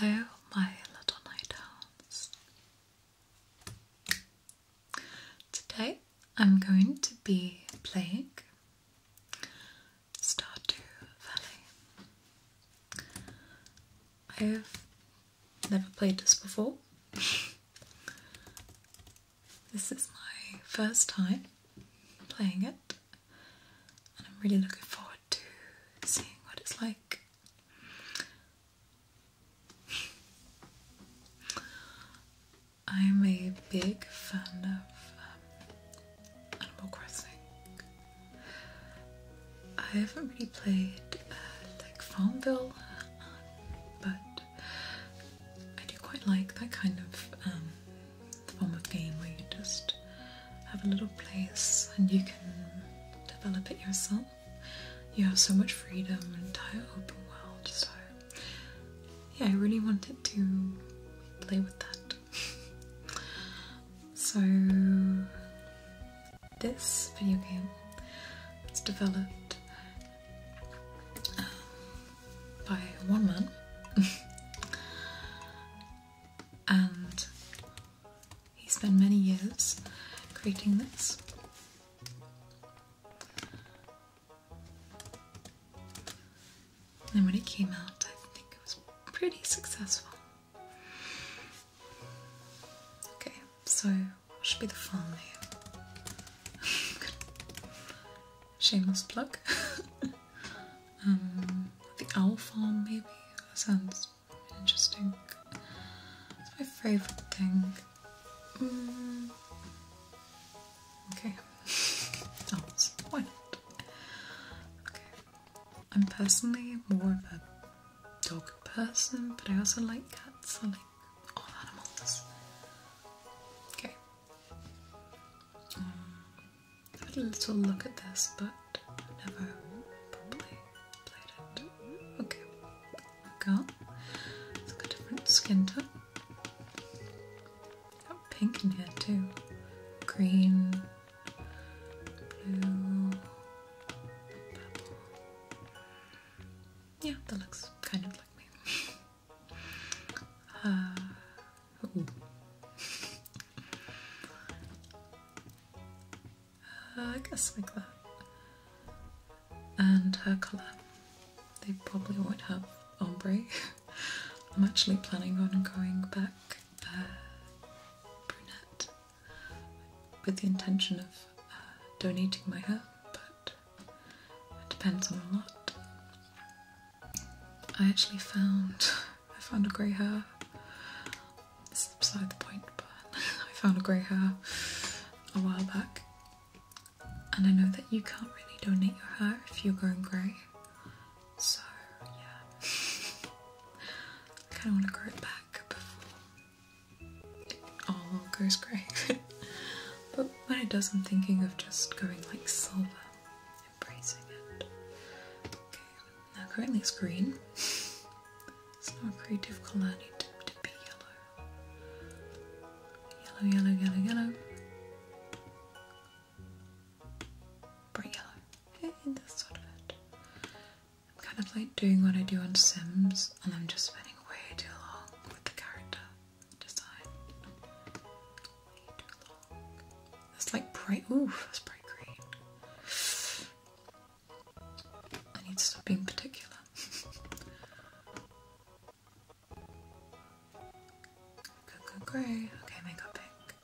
Hello, my little night owls. Today I'm going to be playing Stardew Valley. I've never played this before. This is my first time playing it, and I'm really looking forward to seeing what it's like. I'm a big fan of um, Animal Crossing. I haven't really played uh, like Farmville, but I do quite like that kind of um, form of game where you just have a little place and you can develop it yourself. You have so much freedom and entire open world, so yeah, I really wanted to play with that. so this video game was developed um, by one man, and he spent many years creating this. And when it came out, I think it was pretty successful. Okay, so what should be the file name? Shameless plug. Um, the Owl Farm, maybe? That sounds interesting. It's my favourite thing. Mm. Okay. Owls. Why Okay. I'm personally more of a dog person, but I also like cats. I like all animals. Okay, I had a little look at this, but never properly played it. Okay, there we It's a different skin tone. Got pink in here too. Green, blue, purple. Yeah, that looks kind of like me. Uh, uh, I guess like that. And her colour. They probably won't have ombre. I'm actually planning on going back uh, brunette with the intention of donating my hair, but it depends on a lot. I actually found I found a grey hair. This is beside the point, but I found a grey hair a while back. And I know that you can't really donate your hair if you're going grey. So yeah. I kinda wanna grow it back before it all goes grey. but when it does, I'm thinking of just going like silver, embracing it. Okay, now currently it's green. It's not a creative colour, I need to, be yellow. Yellow, yellow, yellow, yellow. Bright yellow. Hey, that's sort of it. I'm kind of like doing what I do on Sims, and I'm just spending way too long with the character. That's like bright. Ooh, that's bright green. I need to stop being particular. Good, good, grey. Okay, makeup pink.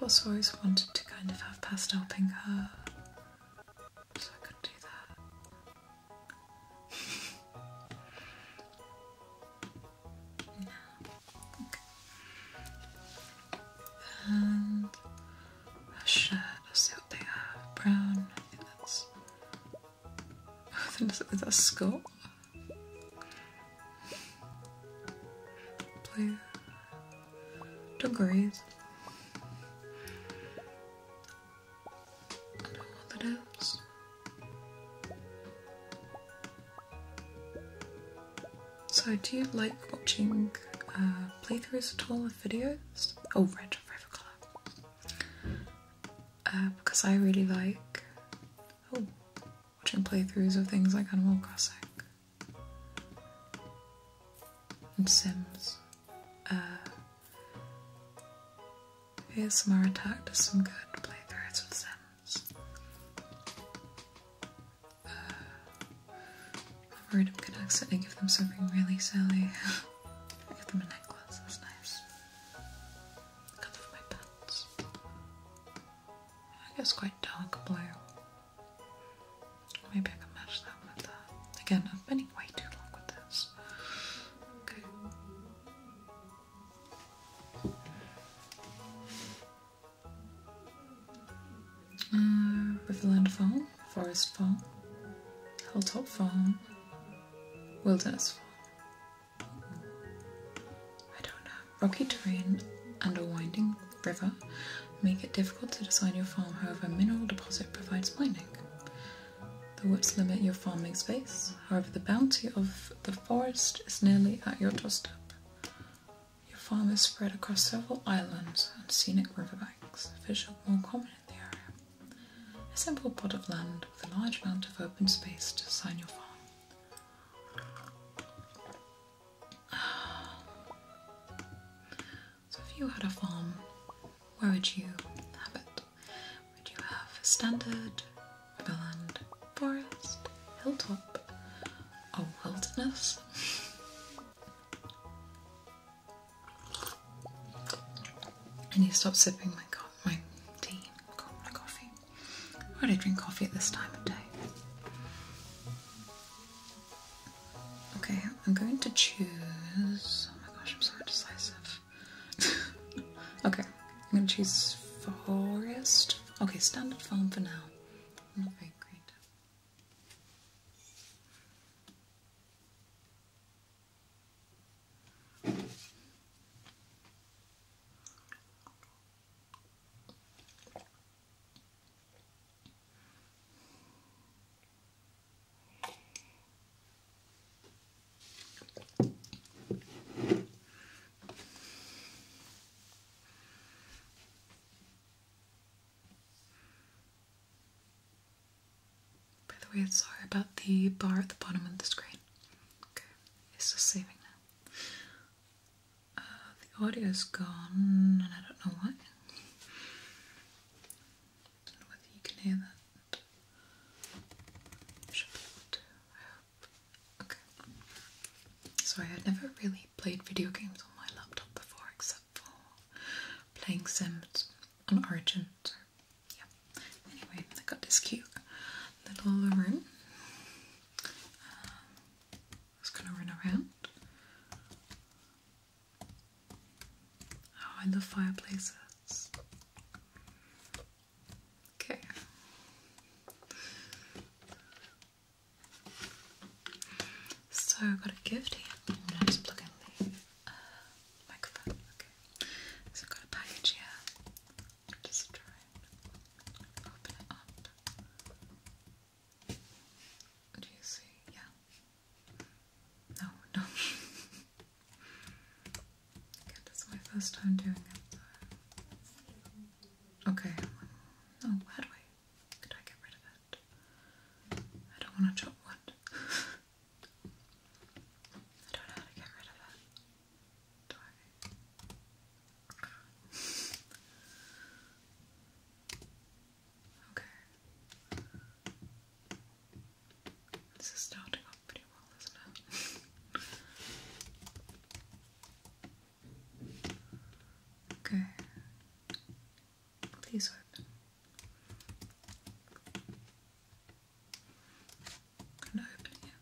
I've always wanted to kind of have pastel pink hair, so I could do that no. Uh, okay. And a shirt, let's see what they have. Brown, I think that's. that's, is that Scott? So, do you like watching uh, playthroughs at all of videos? Oh, Red Forever Color. Uh, because I really like oh, watching playthroughs of things like Animal Crossing and Sims. Uh, some ASMR Attack does some good playthroughs of Sims. Uh, I'm worried I'm gonna accidentally give them something really silly. I give them a necklace, that's nice. cut off my pants. I guess quite dark blue. Maybe I can match that with that. Again, i am been way too long with this. Okay. Riverland uh, Farm, Forest Farm, Hilltop Farm, Wilderness Farm. I don't know. Rocky terrain and a winding river make it difficult to design your farm, however mineral deposit provides mining. The woods limit your farming space, however, the bounty of the forest is nearly at your doorstep. Your farm is spread across several islands and scenic riverbanks, fish are more common in the area. A simple plot of land with a large amount of open space to sign your farm. So, if you had a farm, where would you have it? We do have standard, woodland, forest, hilltop, or wilderness. I need to stop sipping my, my tea, my coffee. Why do I drink coffee at this time of day? Okay, I'm going to choose. Oh my gosh, I'm so indecisive. okay, I'm gonna choose forest. Okay, standard foam for now. By the way, sorry about the bar at the bottom of the screen. Okay, it's just saving now. Uh, the audio's gone, and I don't know why. don't know whether you can hear that. Should be able to. I Okay. Sorry, i have never really played video games on my laptop before except for playing Sims on Origin, so yeah. Anyway, I got this cute little room. Um, just gonna run around. Oh, I love fireplaces. Okay. So I've got a gift here. I'm gonna just plug in the uh, microphone. Okay. So I've got a package here. I'll try open it up. Do you see? Yeah. No, no. God, that's my first time doing it though. Okay, oh, where do I, get rid of it? I don't want to chop wood. I don't know how to get rid of it. Okay. This is starting off pretty well, isn't it? okay. Please open. i open it.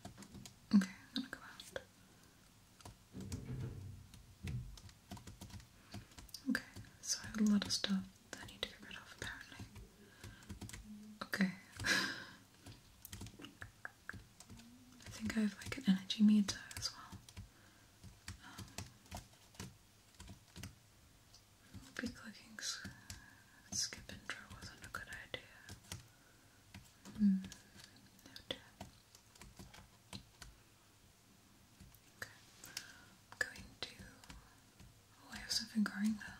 Okay, I'm gonna go out. Okay, so I have a lot of stuff that I need to get rid of apparently. Okay. I think I have like an energy meter as well. Um, clicking skip intro wasn't a good idea. Hmm, okay, I'm going to. Oh, I have something growing there.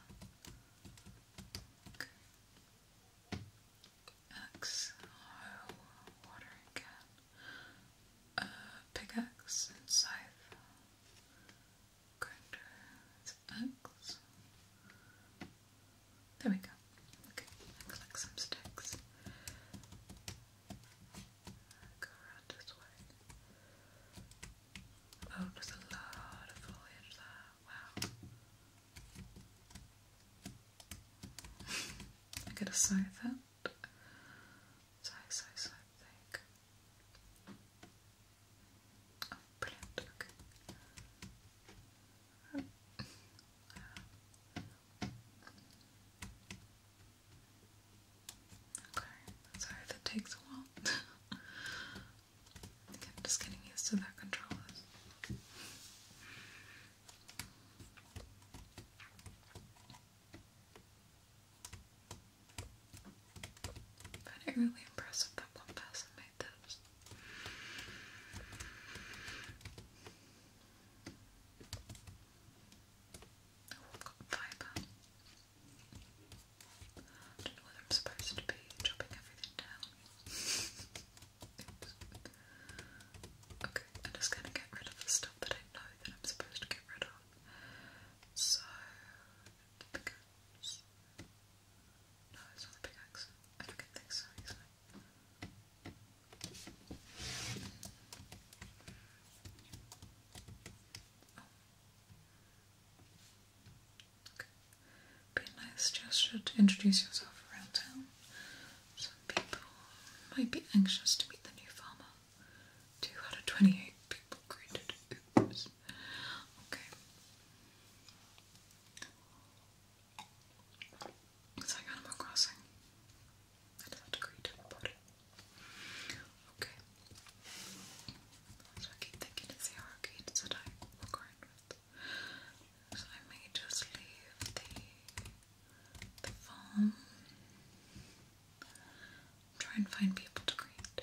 Axe, watering uh, can, pickaxe and scythe, grinder, axe. There we go. Okay, collect some sticks. Go around this way. Oh, there's a lot of foliage there wow. I could to say that. So, so, so thick. Oh, brilliant, okay. Okay, sorry if takes a while. I am just getting used to that controller. Found it really impressive that one person made this. Oh, have got fiber. don't know whether I'm supposed to be chopping everything down Okay, I'm just gonna get rid of the stuff that I know that I'm supposed to get rid of. So, No, it's not the pickaxe. I don't get so be a nice gesture to introduce yourself around town. Some people might be anxious to meet the new farmer. Two out of 28 people greeted. Oops. Okay. It's like Animal Crossing. I just have to greet everybody. Okay. So I keep thinking it's the arcade that I walk around with. So I may just leave the, the foam. Try and find people to create.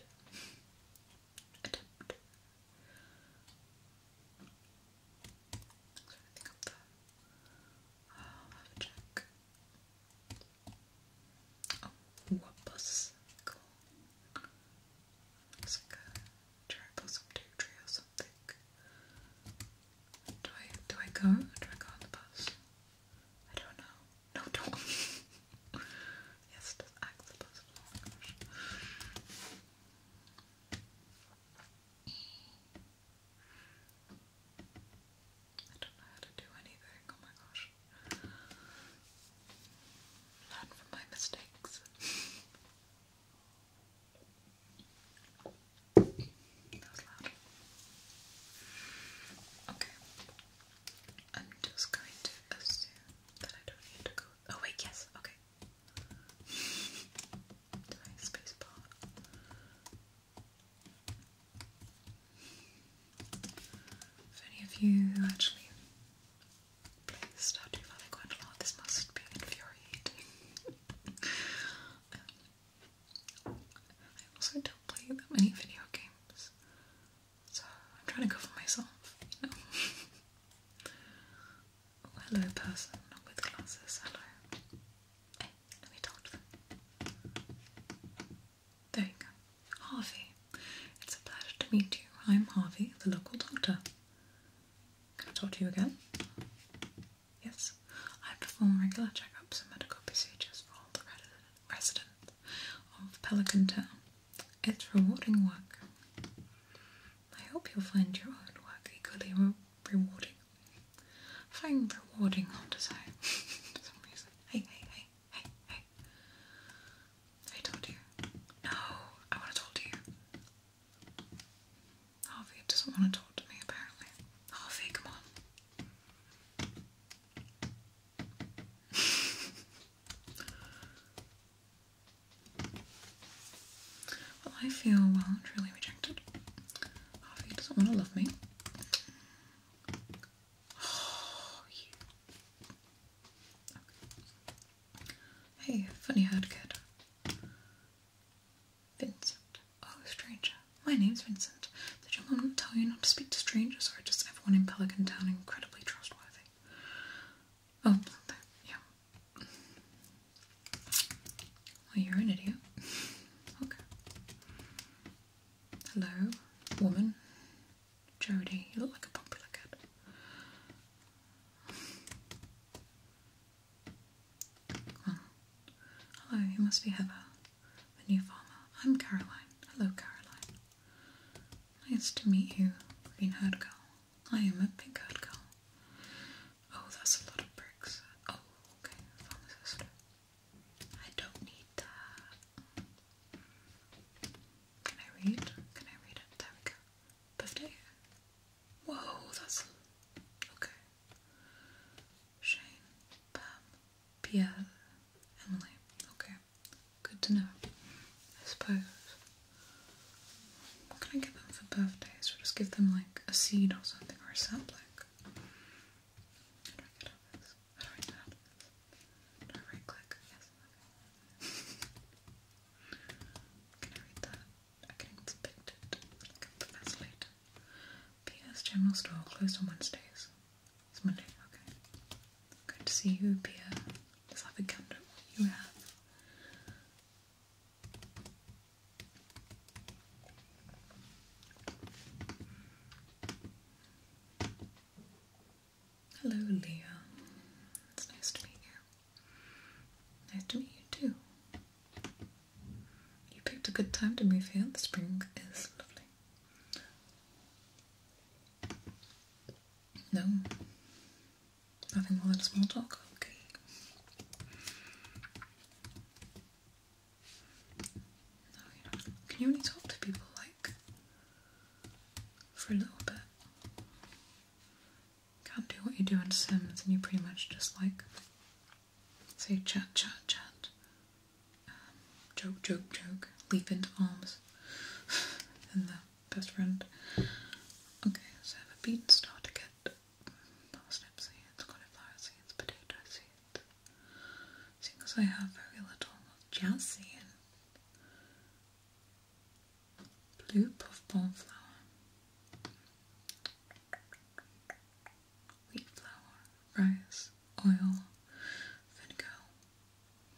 Attempt. So I think up there. Oh, i have a check. Oh, whoopus. Cool. It's like a cherry blossom or something. Do I do I go? Do I go on the bus? I don't know. No, don't. yes, just the bus. I don't know how to do anything. Oh my gosh. Learn from my mistakes. Okay. I'm just going to assume that I don't need to go. Oh, wait, yes, okay. Do If any of you actually Please start to Valley Gwendoline. This must be infuriating. Um, I also don't play that many video games, so I'm trying to cover myself, oh, hello, person with glasses. Hello. let me talk to them. There you go. Harvey. It's a pleasure to meet you. I'm Harvey, the local doctor. Can I talk to you again? Yes. I perform regular checkups and medical procedures for all the residents of Pelican Town. It's rewarding work. I hope you'll find your own work equally re rewarding. Find rewarding hard to say for some reason. Hey, hey, hey, hey, hey. I told you. No, I want to talk to you. Harvey doesn't want to talk to me, apparently. Harvey, come on. well, I feel well and truly rejected. Harvey doesn't want to love me. Oh, you. Hey, funny haired Vincent. Oh, stranger. My name's Vincent. Did your mom not tell you not to speak to strangers, or just everyone in Pelican Town incredibly trustworthy? Oh, yeah. Well, you're an idiot. Okay. Hello, woman. Jody, you look like a popular kid hello, oh, you must be Heather, the new farmer. I'm Caroline. Hello, Caroline. Nice to meet you, Green Herd Girl. I am a Pink Herd Girl. Oh, that's a lot of bricks. Oh, okay, pharmacist. I don't need that. Can I read? Can I read it? There we go birthday? Whoa, that's okay. Shane, Pam, Pierre, Emily. Okay, good to know. I suppose. What can I give them for birthdays? Or just give them like a seed or something or a sapling? Can I read P.S. General Store closed on Wednesdays. It's Monday, okay. Good to see you, Pierre. let have a gander you have. Hello, Leo. It's nice to meet you. Nice to meet you too. You picked a good time to move here. The spring is lovely. No. Nothing more than small talk. Okay. can you only talk to people like for a little bit? Can't do what you do in Sims, and you pretty much just like say chat, chat, chat, um, joke, joke, joke, leap into arms, and the best friend. Okay, so I have a bean starter kit, parsnip seeds, cauliflower seeds, potato seeds. Seeing as have very little, jazz Blue puffball flower, Wheat flour, rice, oil, vinegar.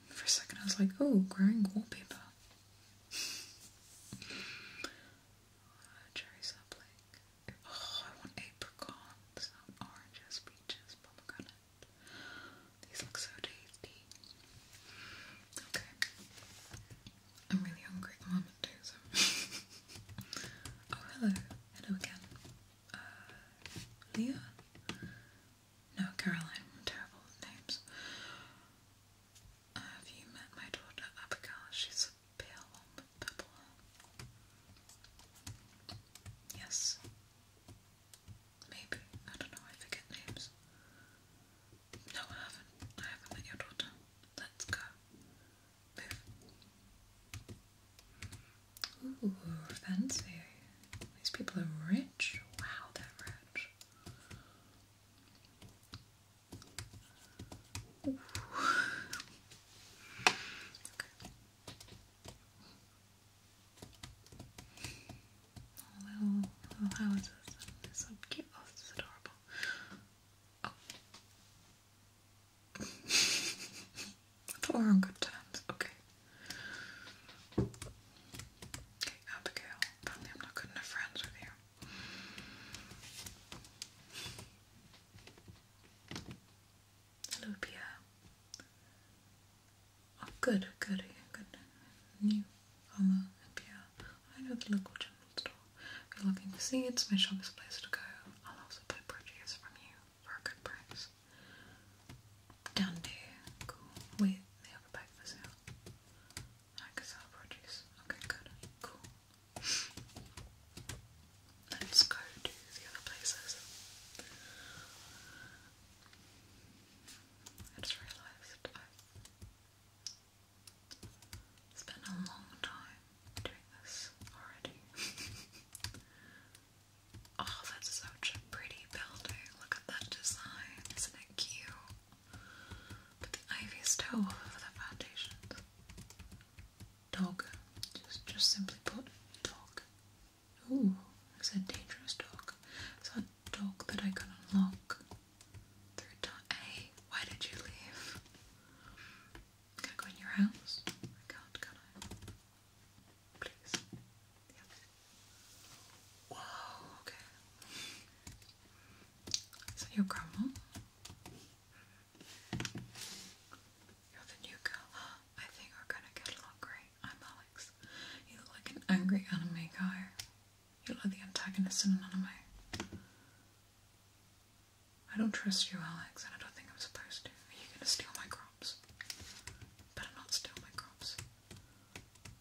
For a second I was like, oh, growing wallpaper. cherry sapling. Oh, I want apricots, oranges, peaches, pomegranate. These look so tasty. Okay. I'm really hungry at moment too, Oh hello. Hello again. Uh, Leah? No, Caroline, terrible names. have you met my daughter Abigail? She's a pale one purple Yes. Maybe. I don't know, I forget names. No, I haven't. I haven't met your daughter. Let's go. Ooh, fancy. These people are rich. Wow, they're rich. okay little, little houses. It's so cute. Oh, this is adorable. Oh. I thought we were on good terms. Okay. Okay, Abigail. Apparently I'm not good enough friends with you. Hello, Oh, good, good, good. New I know the local general store. If you're looking for seeds, my shop is a place to go. I'll also buy produce from you for a good price. Down there. Cool. Wait, they have bag for sale. I can sell produce. Okay, good. Cool. Let's go to the other places. I just realized I it's been a long time doing this already. oh, that's such a pretty building. Look at that design. Isn't it cute? But the ivy's towel over the foundations. Dog. Just just simply put dog. Ooh, it's a dangerous dog. So dog that I can unlock through time. why did you leave? Can I go in your house? can I? Please. Whoa, okay. So your grandma? You're the new girl. I think we're gonna get along I'm Alex. You look like an angry anime guy. You are the antagonist in an anime. I don't trust you, Alex, and I don't think I'm supposed to. Are you gonna steal my crops? Better not steal my crops.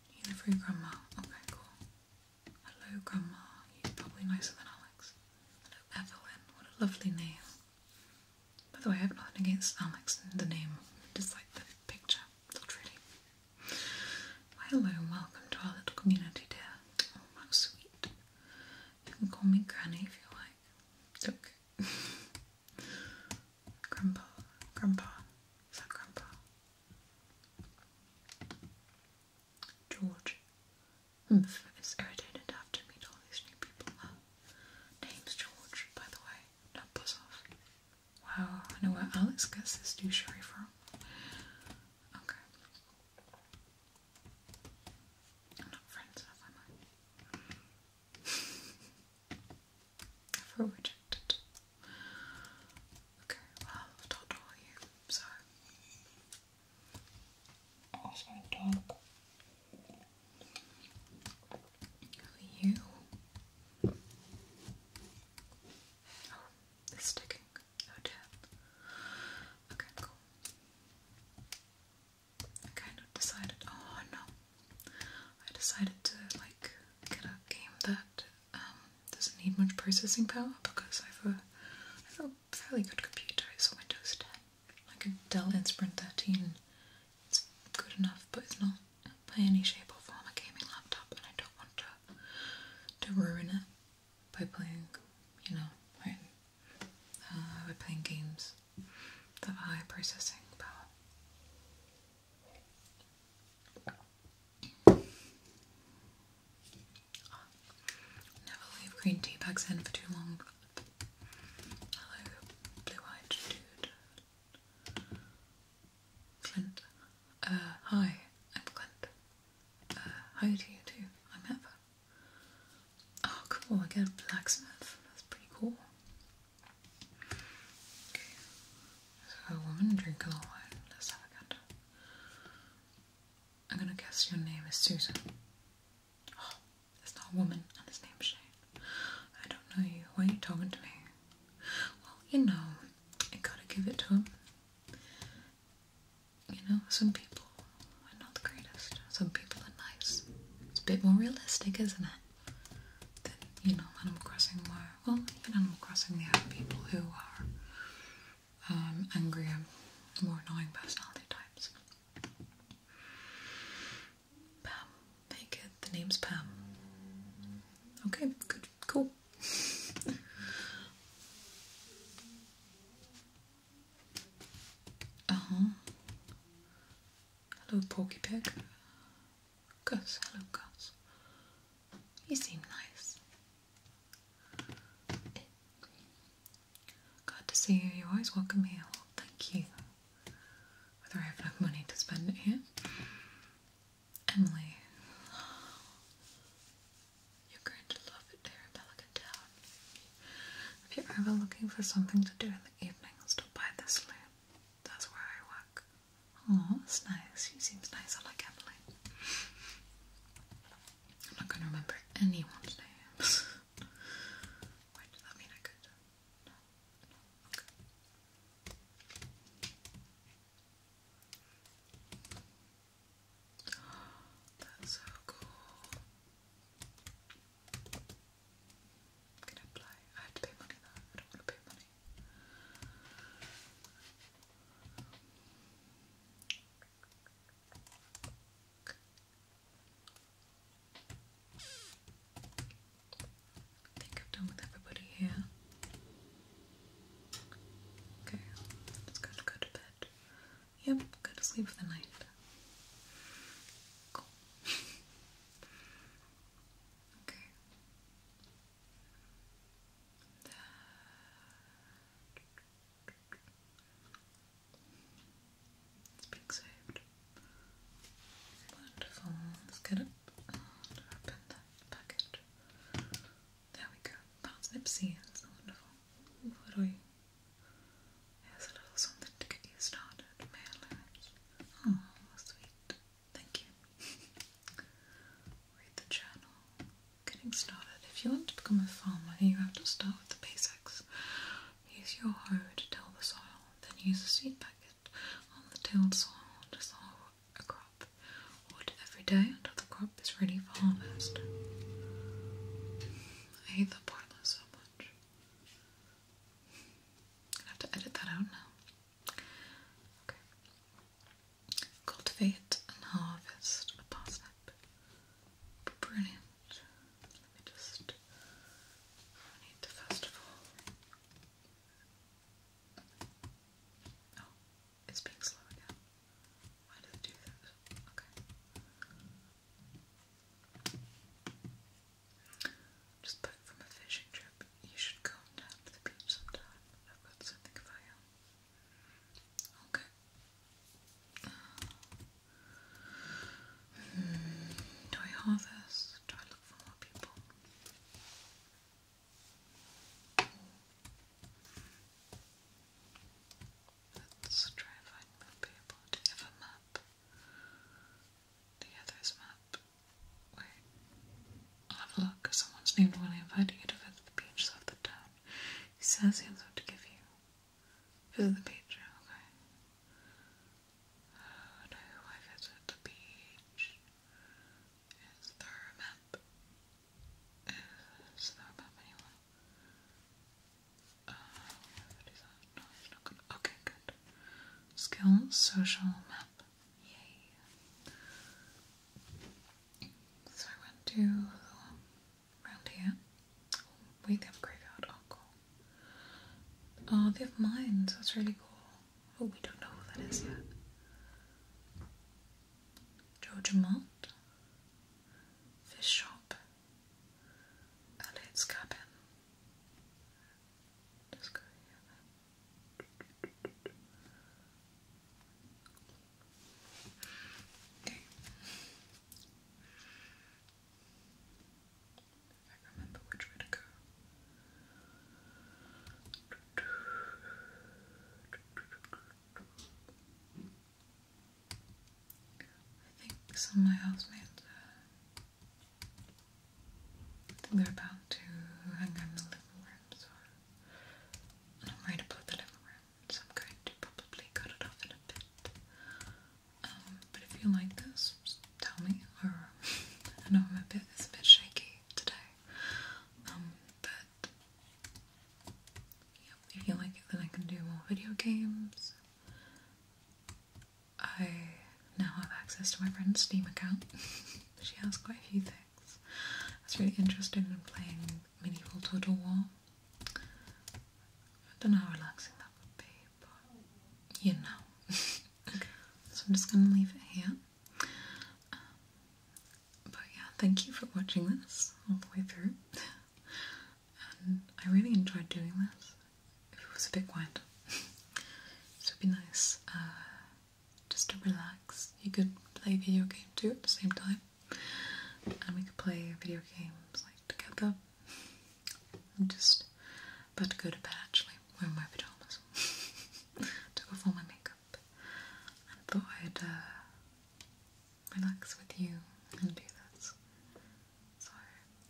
You are the your grandma. Okay, cool. Hello, grandma. You're probably nicer than Alex. Hello, Evelyn. What a lovely name. By the way, I have nothing against Alex and the name. Just like the picture. Not really hello and welcome to our little community, dear. Oh, how sweet. You can call me Granny if you like. Look. grandpa. Grandpa. Is Grandpa? George. Humph is irritated after meet all these new people. name's George, by the way. Not buzz off. Wow, I know where Alex gets his douchery from. Okay. I'm not friends enough, am I? I feel rejected. Okay, well, I've you, so. Oh, sorry, dog. you? It's sticking. Oh damn. Okay, cool. I kind of decided. Oh no, I decided to like get a game that um, doesn't need much processing power because I have a, I have a fairly good computer. It's a Windows 10, like a Dell Inspiron 13. It's good enough, but it's not by any shape or form a gaming laptop, and I don't want to to ruin it by playing, you know, by, uh, playing games that have high processing power. Never leave green tea bags in for too long. Hello, blue-eyed dude. Clint. Uh, hi, I'm Clint. Uh, how do you do? I'm Eva. Oh, cool, I get a blacksmith. That's pretty cool. Okay. So, a woman drinking all wine. Let's have a gander. I'm gonna guess your name is Susan. Oh, it's not a woman, and his name's Shane. I don't know you. Why are you talking to me? Well, you know, I gotta give it to him. You know, some people are not the greatest. Some people are nice. It's a bit more realistic, isn't it? Than, you know, Animal Crossing where, well, in Animal Crossing there are people who are um, angrier, more annoying personality types. Pam. Very good. The name's Pam. Okay, good. Cool uh huh. Hello, Porky Pig. Gus, hello, Gus. You seem nice. Glad to see you. You're always welcome here. thank you. Whether I have enough money to spend it here. Emily, you're going to love it here in Pelican If you're ever looking for something to do in the evenings, stop by the saloon. That's where I work. Oh, that's nice. She seems nice. I like Emily. I'm not going to remember anyone's names. Wait, does that mean I could? That's so cool. Can I apply? I have to pay money though. I don't want to pay money. I think I'm done with everybody here. Okay, it's good. Go to bed. Yep, go to sleep for the night. Cool. okay. It's being saved. Wonderful. Let's get up open that package. There we go. That's Nipsey. That's wonderful. What do you? Here's a little something to get you started. Oh, sweet. Thank you. Read the journal. Getting started. If you want to become a farmer, you have to start with the basics. Use your hoe to till the soil, then use a seed packet on the tilled soil to sow a crop, water every day until the crop is ready for harvest. I hate that boiler so much. i have to edit that out now. Okay. Cultivate and harvest a parsnip. Brilliant. Let me just. need to first it's being slow again. Why did it do that? Okay. Just back from a fishing trip. You should come down to the beach sometime. I've got something for you. Okay. Uh, hmm. do I harvest? Do I look for more people? Let's try if I will be able to give a map. The other's map. Wait. I'll have a look. Someone's named William invited you to visit the beach south of town. He says he has what to give you. Visit the beach, okay. Oh no, I visit the beach. Is there a map? Is there a map anywhere? Uh, okay, good. Skills, social map. Yay. So I went to the here. Oh, they have graveyard. Oh, cool. Oh, they have mines. That's really cool. Oh, we don't know who that is yet. Georgiamont, Fish Shop, Elliot's Cabin. Just go Okay. I remember which way to go. I think some of my housemates, think uh, they're about to hang out in the living room, so I'm worried about the living room, so I'm going to probably cut it off in a bit. Um, but if you like this, tell me, I know my bit, is a bit shaky today, um, but if you like it, then I can do more video games. I now have access to my friend's Steam account. she has quite a few things. I was really interested in playing Medieval Total War. I don't know how relaxing that would be, but you know. so I'm just gonna leave it here. Um, but yeah, thank you for watching this all the way through. I really enjoyed doing this. If it was a bit quiet, so it'd be nice uh, just to relax. You could play a video game too at the same time, and we could play video games like together. I'm just about to go to bed actually, wearing my pajamas. Took off all my makeup nap thought I'd uh, relax with you and do this. So,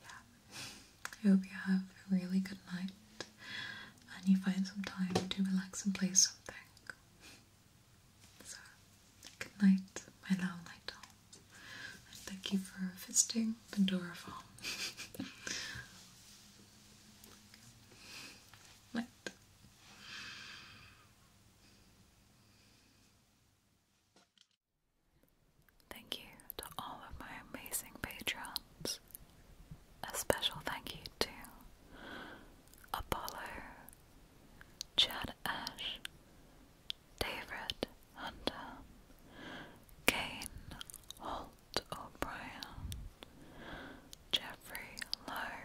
yeah. I hope you have a really good night and you find some time to relax and play something. So, good night, my love night And thank you for visiting Pandora Farm. Night. Thank you to all of my amazing patrons. A special thank you to Apollo, Chad Ash, David Hunter, Kane Holt O'Brien, Jeffrey Lowe,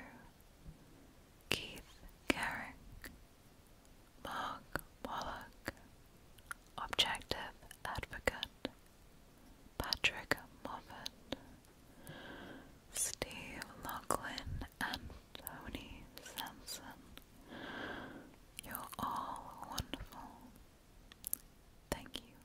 Keith Garrick, Mark Wallach, Objective Advocate, Patrick Moffat, Steve Lachlan, and Tony Sampson. You're all wonderful. Thank you.